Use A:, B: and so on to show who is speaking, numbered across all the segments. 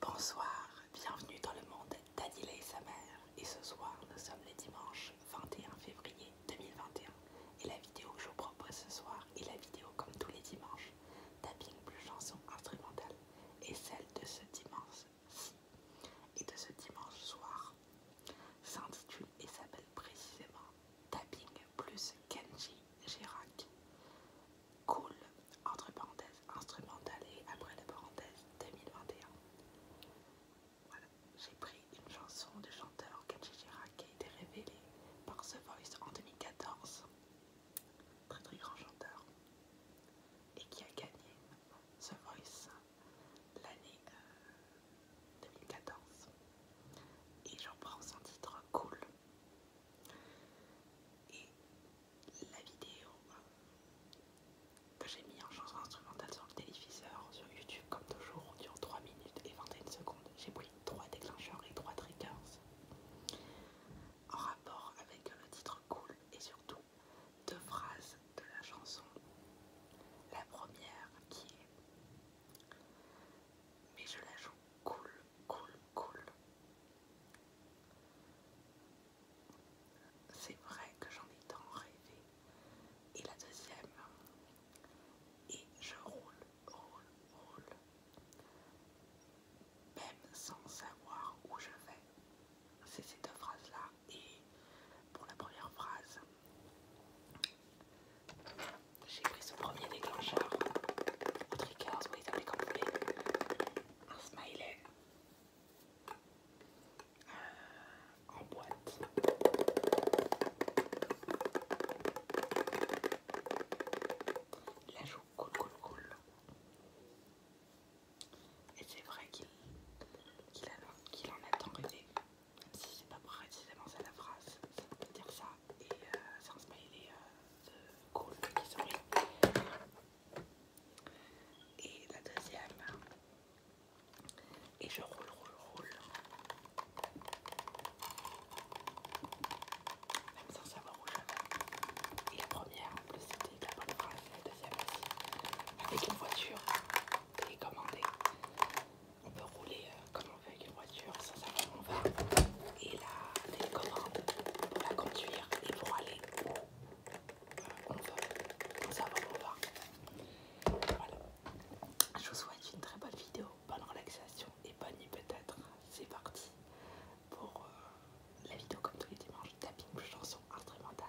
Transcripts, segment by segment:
A: Bonsoir, bienvenue dans le monde d'Adila et sa mère. Et ce soir, nous sommes les dimanches 21 février 2021. Et la vidéo que je vous propose ce soir est la vidéo, comme tous les dimanches, tapping plus chanson instrumentale. Et celle de ce dimanche-ci et de ce dimanche soir s'intitule et s'appelle précisément Tapping plus Kenji Girac. Cool, entre parenthèses, instrumental et après la parenthèse 2021. Voilà, j'ai pris une chanson du chanteur Kajijira qui a été révélée par The Voice en 2014, très très grand chanteur, et qui a gagné The Voice l'année 2014. Euh, et j'en prends son titre Cool. Et la vidéo euh, que j'ai mis en chanson instrumentale sur le téléviseur, sur YouTube comme toujours, dure 3 minutes et 21 secondes. J'ai pris 3 déclencheurs et 3 triggers en rapport avec le titre cool et surtout deux phrases de la chanson. La première qui est Mais je la joue cool, cool, cool. C'est vrai que j'en ai tant rêvé. Et la deuxième, et je roule, roule, roule, même sans savoir où je vais. C'est ces deux phrases-là. Et pour la première phrase, j'ai pris ce premier déclencheur au Trickers. vous les appelez comme vous voulez. Un smiley euh, en boîte. La joue cool, cool, cool. Et c'est vrai qu'il en a tant rêvé même si c'est pas précisément ça la phrase, ça peut dire ça, et sans c'est smiley de cool qui sourit. Et la deuxième, et je roule, roule, roule. Même sans savoir où je vais. Et la première, on plus, c'était la bonne phrase, la deuxième aussi. Avec une voiture télécommandée on peut rouler euh, comme on veut avec une voiture, ça, ça on va. Et la télécommande pour la conduire et pour aller euh, on veut, Ça on Voilà. Je vous souhaite une très bonne vidéo, bonne relaxation et bonne nuit peut-être. C'est parti pour euh, la vidéo comme tous les dimanches, tapping chanson instrumentale.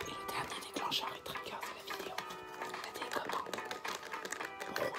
A: Et le dernier déclencheur et trigger de la vidéo, la télécommande. Hein. Euh, Pour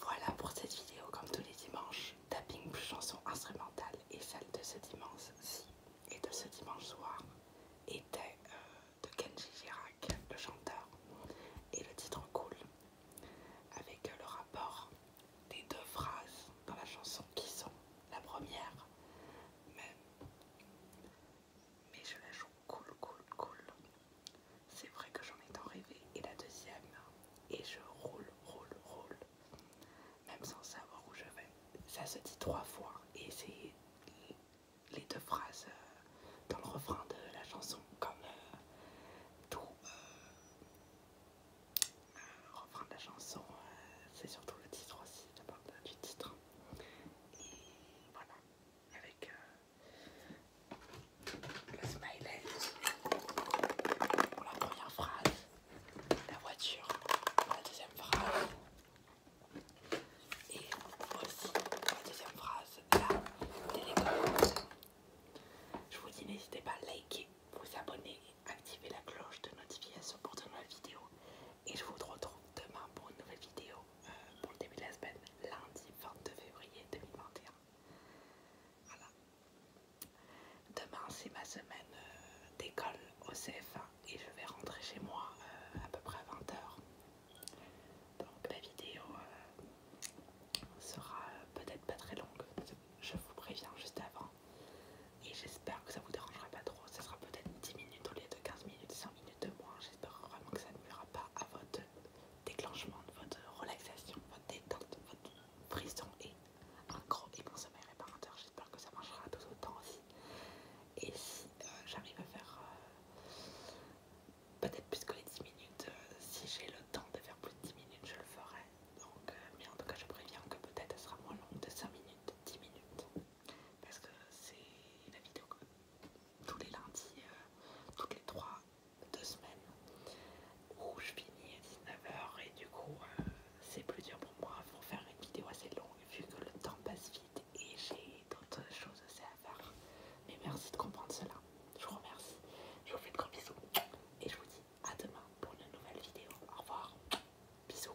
A: Voilà pour cette vidéo, comme tous les dimanches, tapping plus instrumentale et celle de ce dimanche-ci et de ce dimanche soir était euh, de Kenji Girac, le chanteur, et le titre cool, avec le rapport des deux phrases dans la chanson qui sont la première, mais je la joue Cool, cool, cool. C'est vrai que j'en ai tant rêvé. Et la deuxième, et je roule, roule, roule. Même sans savoir où je vais. Ça se dit trois fois. Et c'est les deux phrases euh, dans le refrain de la chanson. Comme euh, tout euh, refrain de la chanson, c'est surtout le titre aussi, la du titre. Et voilà avec euh, le smiley pour la première phrase, la voiture pour la deuxième phrase et aussi pour la deuxième phrase, la télécommande. Je vous dis n'hésitez pas à liker, vous abonner, et activer la cloche de notification pour de nouvelles vidéos et je vous retrouve demain pour une nouvelle vidéo pour le début de la semaine, lundi 22 février 2021. Voilà. Demain, c'est ma semaine euh, d'école au CF1 et je vais rentrer chez moi euh, à peu près à 20h. Donc la vidéo euh, sera peut-être pas très longue, je vous préviens juste avant. Et j'espère que ça vous dérangera pas trop, ça sera peut-être 10 minutes au lieu de 15 minutes, 100 minutes de moins. J'espère vraiment que ça ne n'ira pas à votre déclenchement de votre relaxation, votre détente, votre frisson et un gros et bon sommeil réparateur. J'espère que ça marchera tout autant aussi. Et si euh, j'arrive à faire euh, peut-être plus que les 10 minutes, euh, si j'ai le temps de faire plus de 10 minutes, je le ferai. Donc, mais en tout cas, je préviens que peut-être ça sera moins long de 5 minutes, 10 minutes. Parce que c'est la vidéo tous les lundis, euh, toutes les 3 deux semaines, où je finis à 19h et du coup euh, c'est plus dur pour moi pour faire une vidéo assez longue vu que le temps passe vite et j'ai d'autres choses aussi à faire. Mais merci de comprendre cela, je vous remercie, je vous fais de gros bisous et je vous dis à demain pour une nouvelle vidéo. Au revoir, bisous.